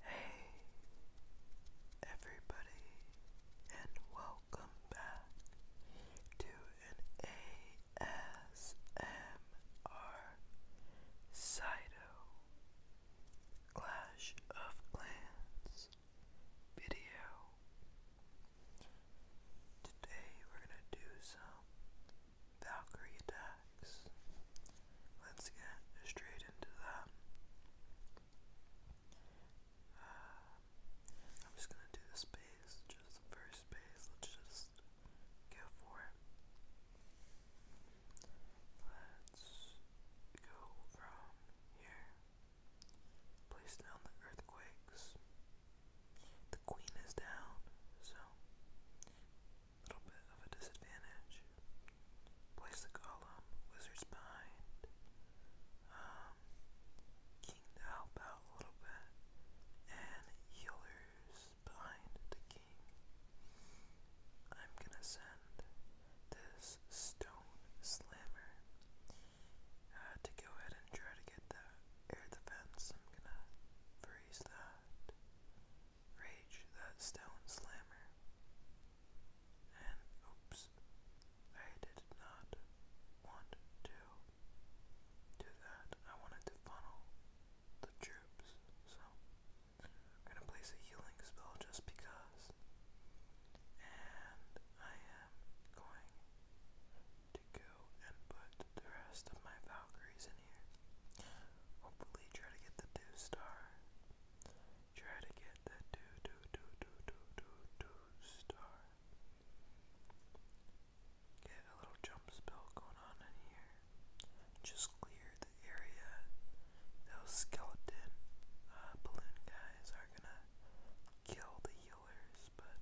Hey everybody and welcome back to an ASMR Cyto Clash of Clans video. Today we're gonna do some Valkyrie Let's get straight into that. Uh, I'm just gonna do the space, just the first space. Let's just go for it. Let's go from here. Place down the earthquakes. The queen is down, so little bit of a disadvantage. Place the column, wizard's behind. Um, king to help out a little bit, and healers behind the king. I'm gonna send this stone slammer uh, to go ahead and try to get that air defense. I'm gonna freeze that. Rage that stone slammer. And oops, I did not want to do that. I wanted to funnel the troops, so I'm gonna place a healing spell just because. And I am going to go and put the rest of my Valkyries in here. Hopefully, try to get the two star. Try to get the two, two, two, two, two, two, two star. Get a little jump spell going on in here. Just clear the area. Those skeleton uh, balloon guys are gonna kill the healers, but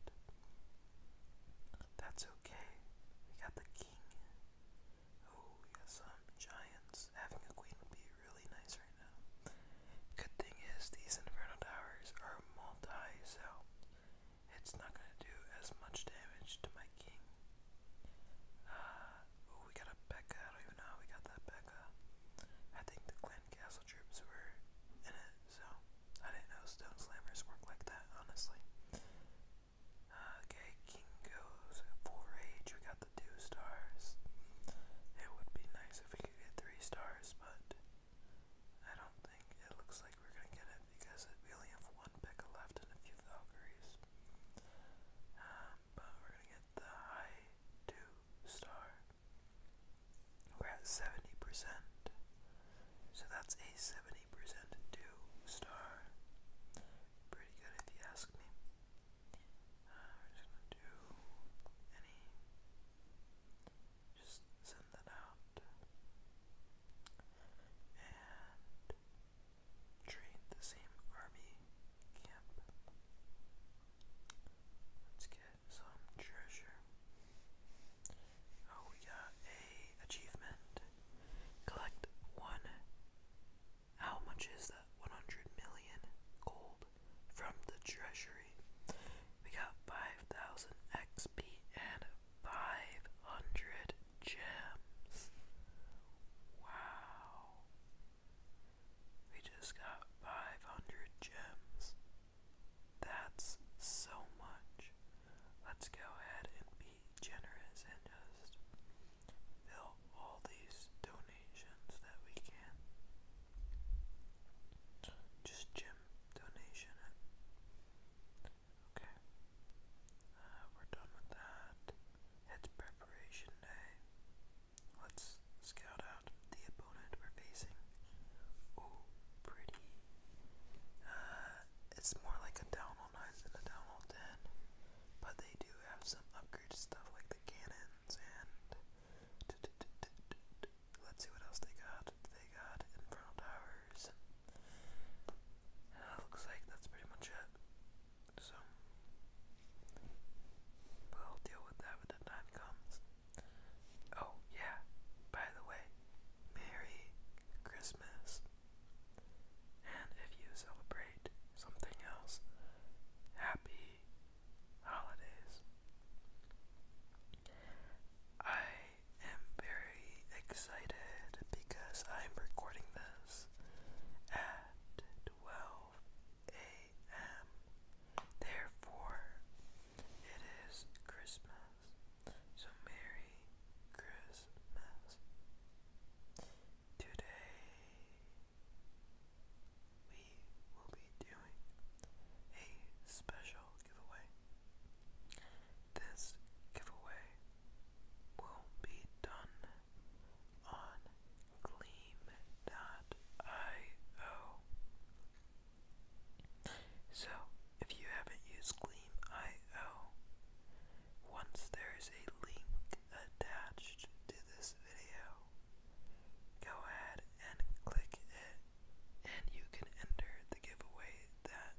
that's okay. We got the king. Oh, we got giants. Having a queen would be really nice right now. Good thing is, these Inferno Towers are multi, so it's not going to do as much damage to my king. Uh, we got a Becca. don't know we got that Becca. I think the Clan Castle troops were in it, so I didn't know Stone Slammers work like that, honestly. Okay, King goes for We got the two stars. It would be nice if we could get three stars, but I don't think it looks like we're gonna get it because we only have one Pekka left and a few Valkyries. Um, but we're gonna get the high two star. We're at 70%. So that's a 70% two star. Pretty good if you ask me. Uh, we're just gonna do any, just send that out and train the same army camp. Let's get some treasure. Oh, we got a achievement. Collect one how much is that? 100 million gold from the treasury. We got 5,000 XP and 500 gems. Wow. We just got 500 gems. That's so much. Let's go ahead and be generous and just fill all these donations that we can. Just gym donation Okay. Uh, we're done with that. It's preparation day. Let's scout out the opponent we're facing. Ooh, pretty. Uh, it's more like a down all 9 than a down all 10. But they do have some upgraded stuff like the cannons and. Let's see what else they got. They got infernal towers. Uh, looks like that's pretty much it. So, we'll deal with that when the time comes. Oh, yeah, by the way, Merry Christmas. And if you celebrate something else, happy holidays. I am very excited because I'm recording this at 12 a.m. Therefore, it is Christmas. So, Merry Christmas. Today we will be doing a special giveaway. This giveaway will be done on Gleam.io. So, if you haven't used Gleam.io, once there is a link attached to this video. Go ahead and click it, and you can enter the giveaway that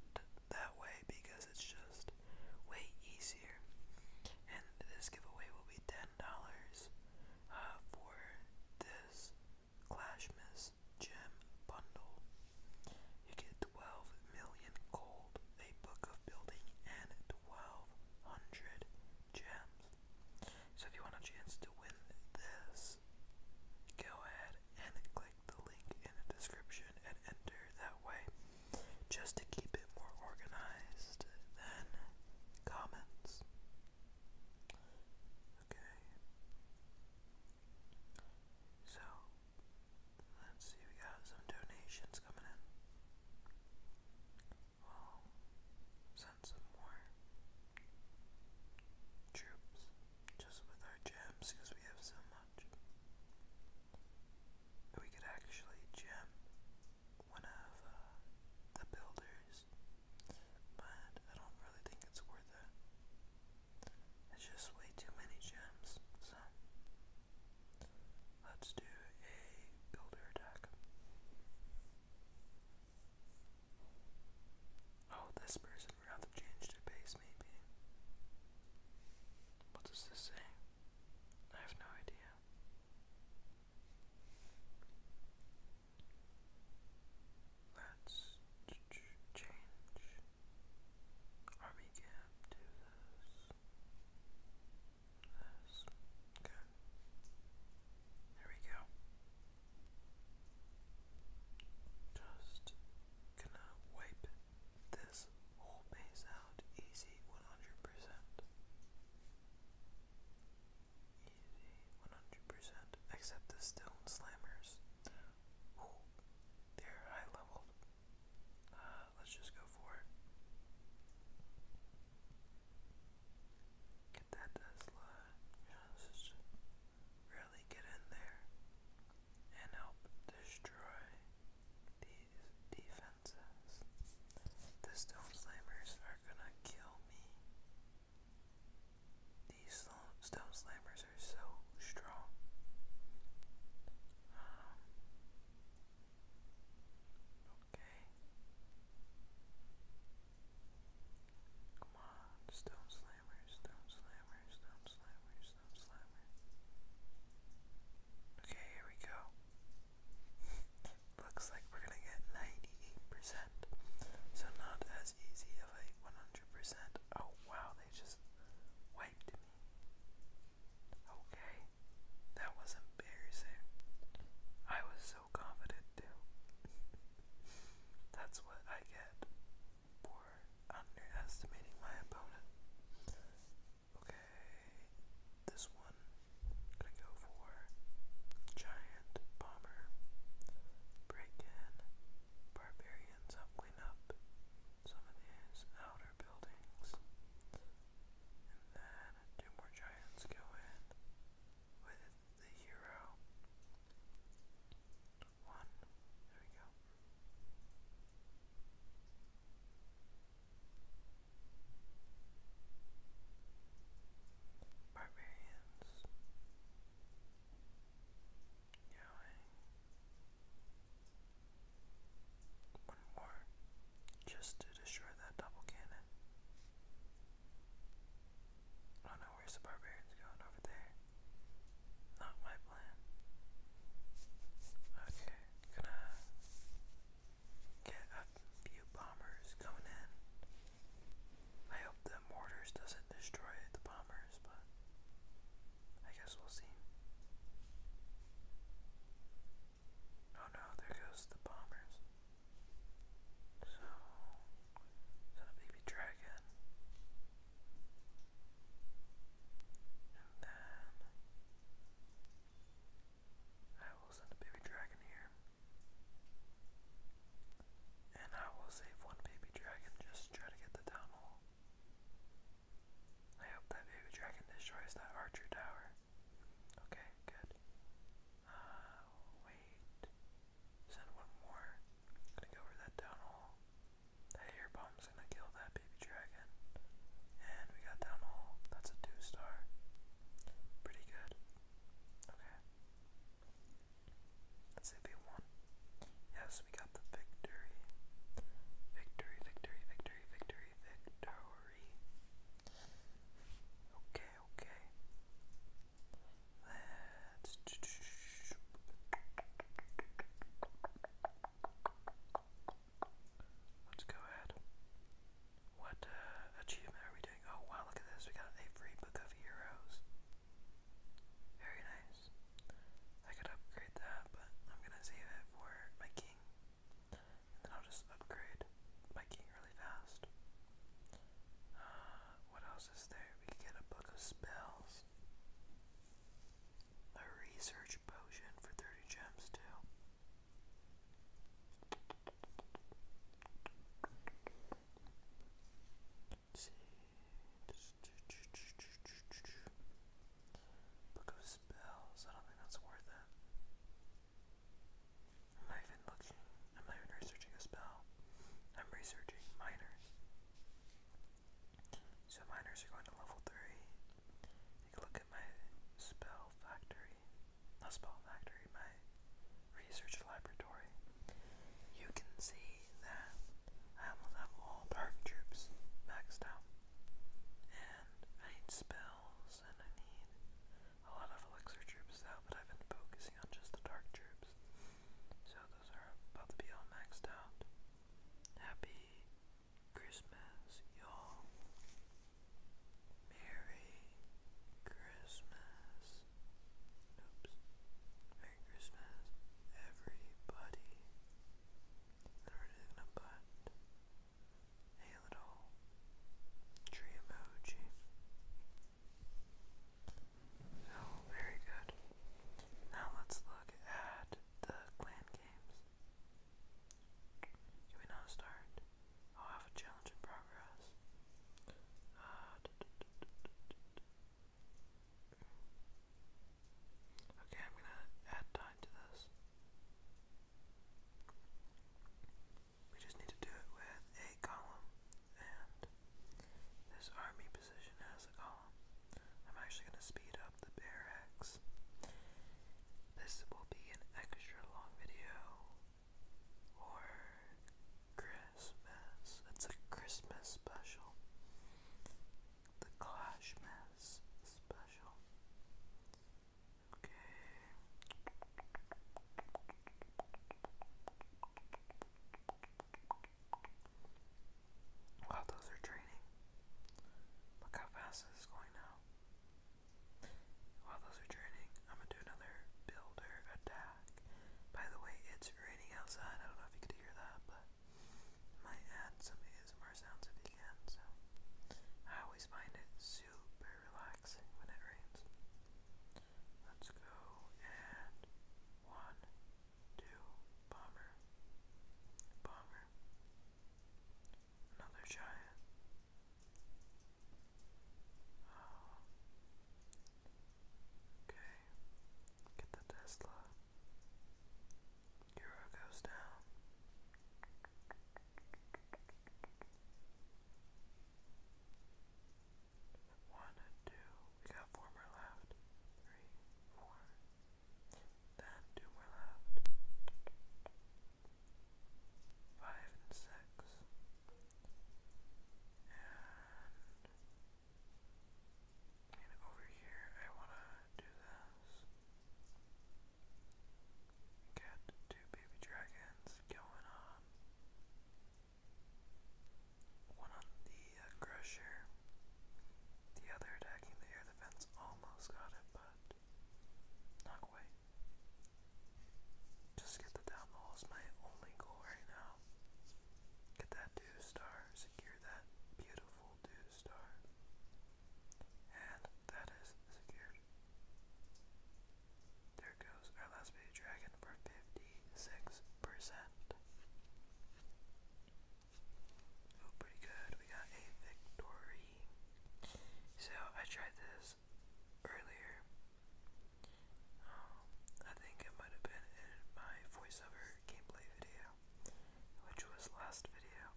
that way because it's just way easier. And this giveaway will be ten dollars uh, for this Clashmas gem bundle. You get twelve million gold, a book of building, and twelve hundred gems. So if you want a chance to win this, go ahead and click the link in the description and enter that way. Just to keep it more organized than comments. Okay. So, let's see, we got some donations coming in i send some more troops just with our gems because we have so much. We could actually gem one of uh, the builders, but I don't really think it's worth it. It's just way too many gems, so Let's do a builder attack. Oh, this person would change their base, maybe. What does this say? I have no idea. Let's change army camp to this. This. Okay. There we go. Just gonna wipe this whole base out easy 100%. Easy 100%. Except the stone slammers. they're high leveled. Uh, let's just go for it. Get that Tesla, just really get in there and help destroy these defenses. The Stone Slammers are gonna kill me. These Stone Slammers are so strong. Um, Okay. Come on, stone slammer, stone slammer, stone slammer, stone slammer. Okay, here we go. Looks like we're gonna get 98%. So not as easy of a 100%. Oh wow, they just wiped me. Okay. That was embarrassing. I was so confident too. That's what I get for underestimating my opponent. Okay, this one gonna go for giant bomber. Break in. Barbarians help up some of these outer buildings. And then two more giants go in with the hero. One. There we go. Barbarians. Going. One more. Just to destroy that double cannon. Oh no, where's the barbarians going over there? Not my plan. Okay, gonna get a few bombers coming in. I hope the mortars doesn't destroy the bombers, but I guess we'll see. Oh no, there goes the bombers. So, is a baby dragon? And then, I will send a baby dragon here. And I will save one baby dragon just to try to get the town I hope that baby dragon destroys that archer tower. Okay, good. Uh, wait. Send one more. gonna go over that down That air bomb's gonna kill that baby dragon. And we got down That's a two star. Pretty good. Okay. Let's see if we won. Yes, we got the victory. Victory, victory, victory, victory, victory. Okay, okay. Let's go ahead. What uh, achievement are we doing? Oh wow, look at this! We got a free book of heroes. Very nice. I could upgrade that, but I'm gonna save it for my king, then I'll just upgrade my king really fast. Uh, what else is there? We get a book of spells. A research potion for 30 gems, too. see. Book of spells. I don't think that's worth it. I'm even looking. I'm even researching a spell. I'm researching miners. So miners are going to level 3. Take a look at my spell factory. Not spell factory, my research laboratory. You can see that I almost have all dark troops maxed out. And I need spells and I need a lot of elixir troops out, but I've been focusing on just the dark troops. So those are about to be all maxed out. Happy Christmas, y'all. Merry Christmas. Oops. Merry Christmas, everybody. And we're just a little tree emoji. Oh, very good. Now let's look at the clan games. Can we now start? I'll have a challenge in progress. Okay, I'm gonna add time to this. We just need to do it with a column, and this army position has a column. I'm actually going to speed up the barracks. This will be an extra long video for Christmas. It's a Christmas special. The Clash special. Okay. those are draining. Look how fast this is going now. Wow, those are draining. I'm gonna do another builder attack. By the way, it's raining outside. I don't know if you could hear that, but might add some ASMR sounds if you can. So I always find it super relaxing when it rains. Let's go and one, two, bomber, bomber, another giant. Uh, okay, get the Tesla. Euro goes down. One, two, we got four more left. Three, four. Then two more left. Five and six. And over here, I want to do this. Get two baby dragons is going on. One on the uh, crusher, the other attacking the air defense. Almost got it, but not quite. Just get the down my only goal right now. Get that two star, secure that beautiful two star, and that is secured. There goes our last baby dragon for 56%. pretty good. We got a victory. So, I tried this earlier. Um, I think it might have been in my voiceover gameplay video, which was last video.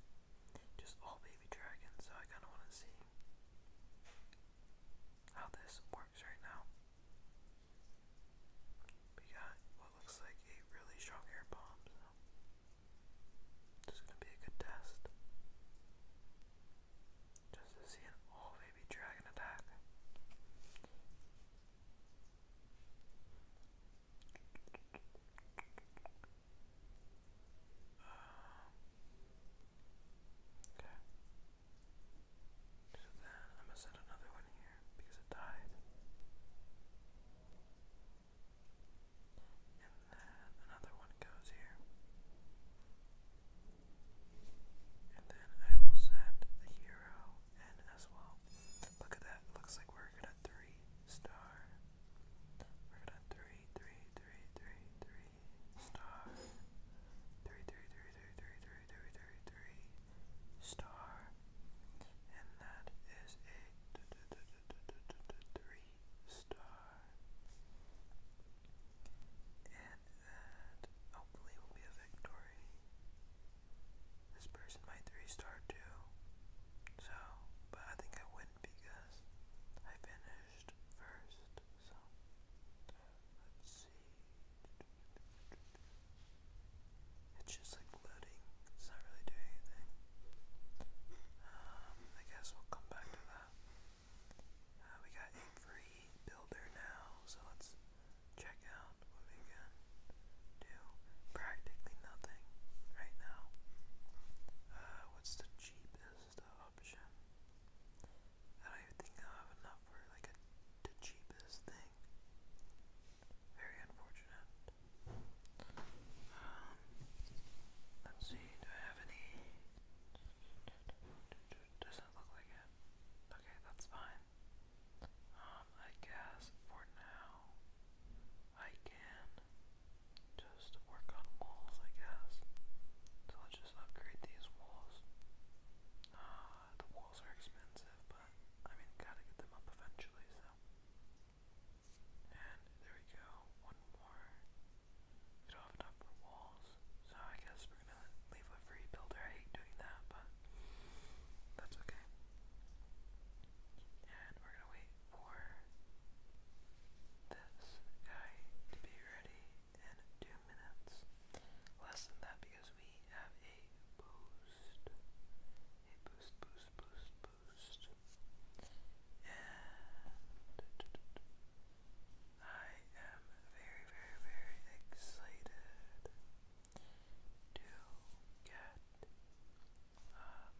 Just all baby dragons, so I kind of want to see how this works right now. We got what looks like a really strong air bomb, so gonna be a good test. Just to see an all baby dragon attack. Um, okay. So then I'm gonna set another one here because it died. And then another one goes here. And then I will set the hero in as well. Look at that. looks like we're gonna three star. We're gonna three, three, three, three, three, star, three, three, three, three, three, three, three, three, three, star, and that is a three star, and that hopefully will be a victory. This person might three star too, so but I think I win because I finished first, so. Let's see. It's just like loading. It's not really doing anything. Um, I guess we'll come back to that. Uh, we got a free builder now, so let's check out what we can do. Practically nothing right now. Uh, what's the cheapest? is the option. I think I have enough for like the cheapest thing. Very unfortunate. Um, let's see, do I have any? Doesn't look like it. Okay, that's fine. Um, I guess for now, I can just work on walls, I guess. So just upgrade these walls. Uh, the walls are expensive, but I mean, gotta get them up eventually, so. And there we go, one more. We don't have enough for walls, so I guess we're gonna leave a free builder. I hate doing that, but that's okay. And we're gonna wait for this guy to be ready and two minutes. Less than that because we have a boost. A boost, boost, boost, boost. And I am very, very, very excited to get um,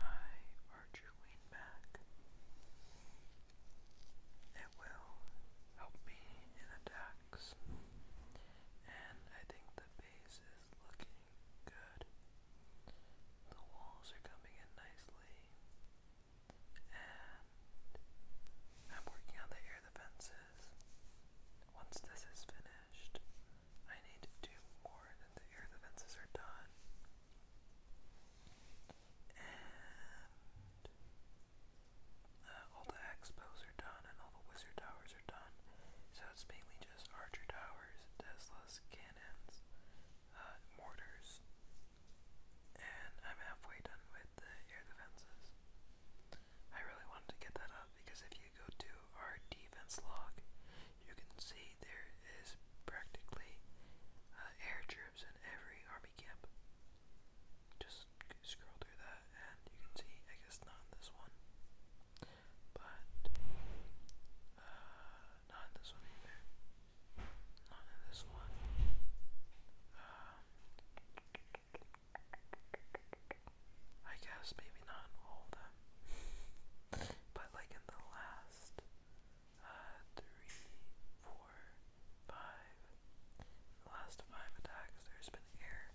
my Archer Wing back it will help me in attacks. And I think the base is looking good. The walls are coming in nicely. And I'm working on the air defenses. Once this is finished, I need to do more than the air defenses are done. Uh, all the expos are done and all the wizard towers are done. So it's mainly just archer towers, Teslas, cannons, uh, mortars, and I'm halfway done with the air defenses. I really wanted to get that up because if you go to our defense log, you can see there is practically uh, air troops in every army just scroll through that, and you can see, I guess not in this one, but uh, not in this one either. Not in this one. Um, I guess maybe not all of them, but like in the last uh, three, four, five. In the last five attacks, there's been air,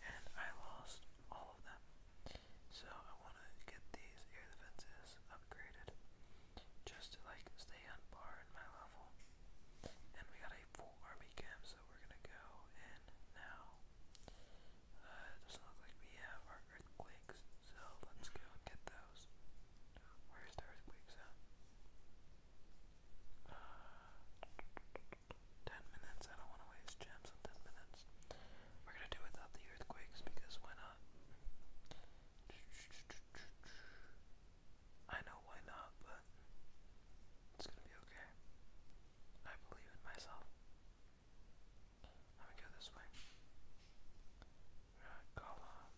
and I lost all of them. So I want to get these air defenses upgraded, just to like stay on par in my level. And we got a full army camp, so we're gonna go in now. Uh, it doesn't look like we have our earthquakes, so let's go and get those. Where's the earthquakes at? Ten minutes. I don't want to waste gems on ten minutes. We're gonna do without the earthquakes because why not? I know why not, but it's gonna be okay. I believe in myself. Let me go this way. Alright,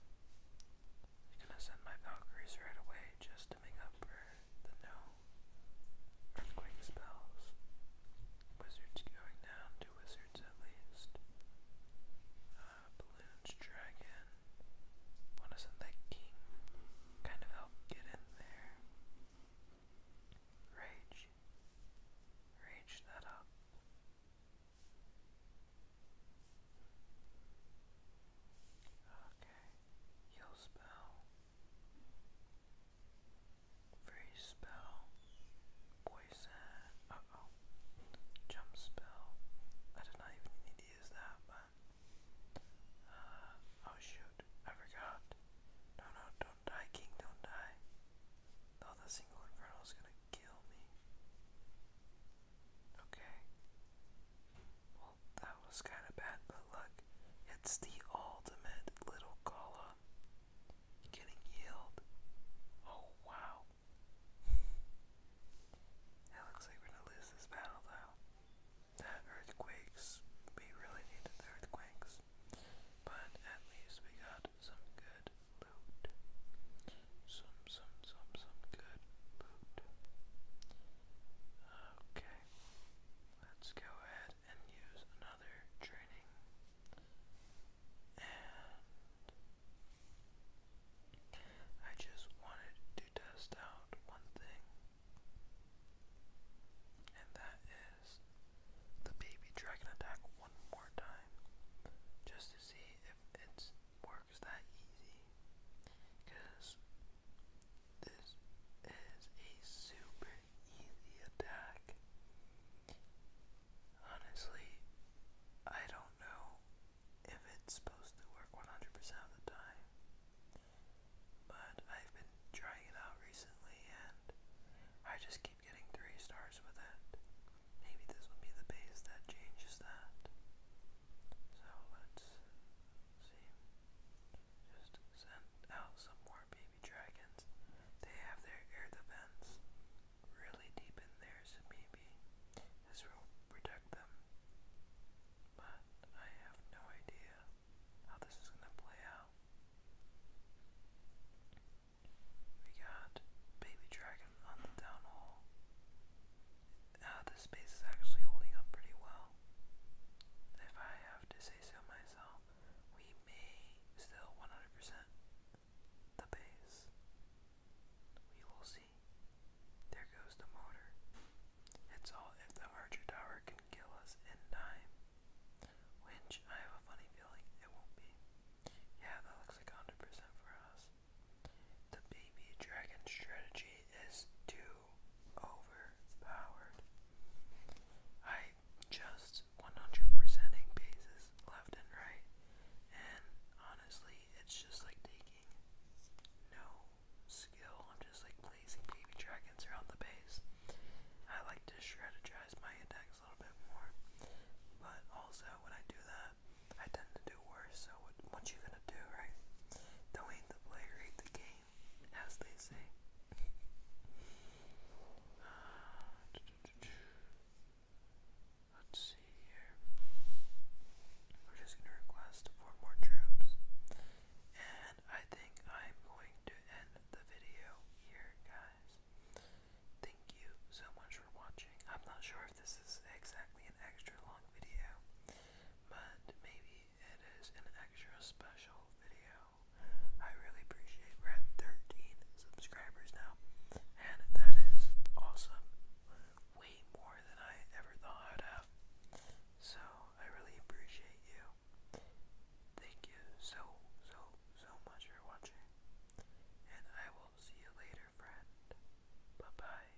I'm gonna send my Valkyries right away just to make up for the no earthquake spells. Wizards going down, two wizards at least. Uh, balloons, dragon. Wanna send that king? Kind of help get in there. Rage. Rage that up. Okay, you spell. Free spell. Poison. Uh oh. Jump spell. I did not even need to use that, but. Uh, oh shoot, I forgot. No, no, don't die, King, don't die. Oh, that single inferno is gonna kill me. Okay. That was kind of bad, but look, it's the ultimate little Gala getting healed. Oh wow. It looks like we're gonna lose this battle though. That earthquakes, we really needed the earthquakes. But at least we got some good loot. Some some, some, some good Okay, let's go ahead and use another training. And I just wanted to test out one thing, and that is the baby dragon attack one more time, just to see if it's works that easy because this is a super easy attack. Honestly, I don't know if it's supposed to work 100% of the time, but I've been trying it out recently and I just keep getting 3 stars with it. Maybe this will be the base that changes that. So let's See? Just send out some more baby dragons. They have their air defense really deep in there, maybe this will protect them. But I have no idea how this is gonna play out. We got baby dragon on the down hole. Uh, the space is actually holding up pretty well. If I have to say so myself, we may still 100% the base. We will see. There goes the motor. It's all if the Archer Tower can kill us in time. Which I have a funny feeling it won't be. Yeah, that looks like 100% for us. The baby dragon strategy is to overpowered. I just 100%ing bases left and right, and honestly, it's just like taking no skill. I'm just like placing baby dragons around the base. I like to strategize my attacks a little bit more, but also when I do that, I tend to do so what, you gonna do, right? Don't hate the player, hate the game, as they say. Let's see here. We're just gonna request four more troops. And I think I'm going to end the video here, guys. Thank you so much for watching. I'm not sure if this is exactly an extra long video, but maybe it is an extra special video. I really appreciate 13 subscribers now, and that is awesome. Way more than I ever thought I'd have. So I really appreciate you. Thank you so, so, so much for watching. And I will see you later, friend. Bye bye.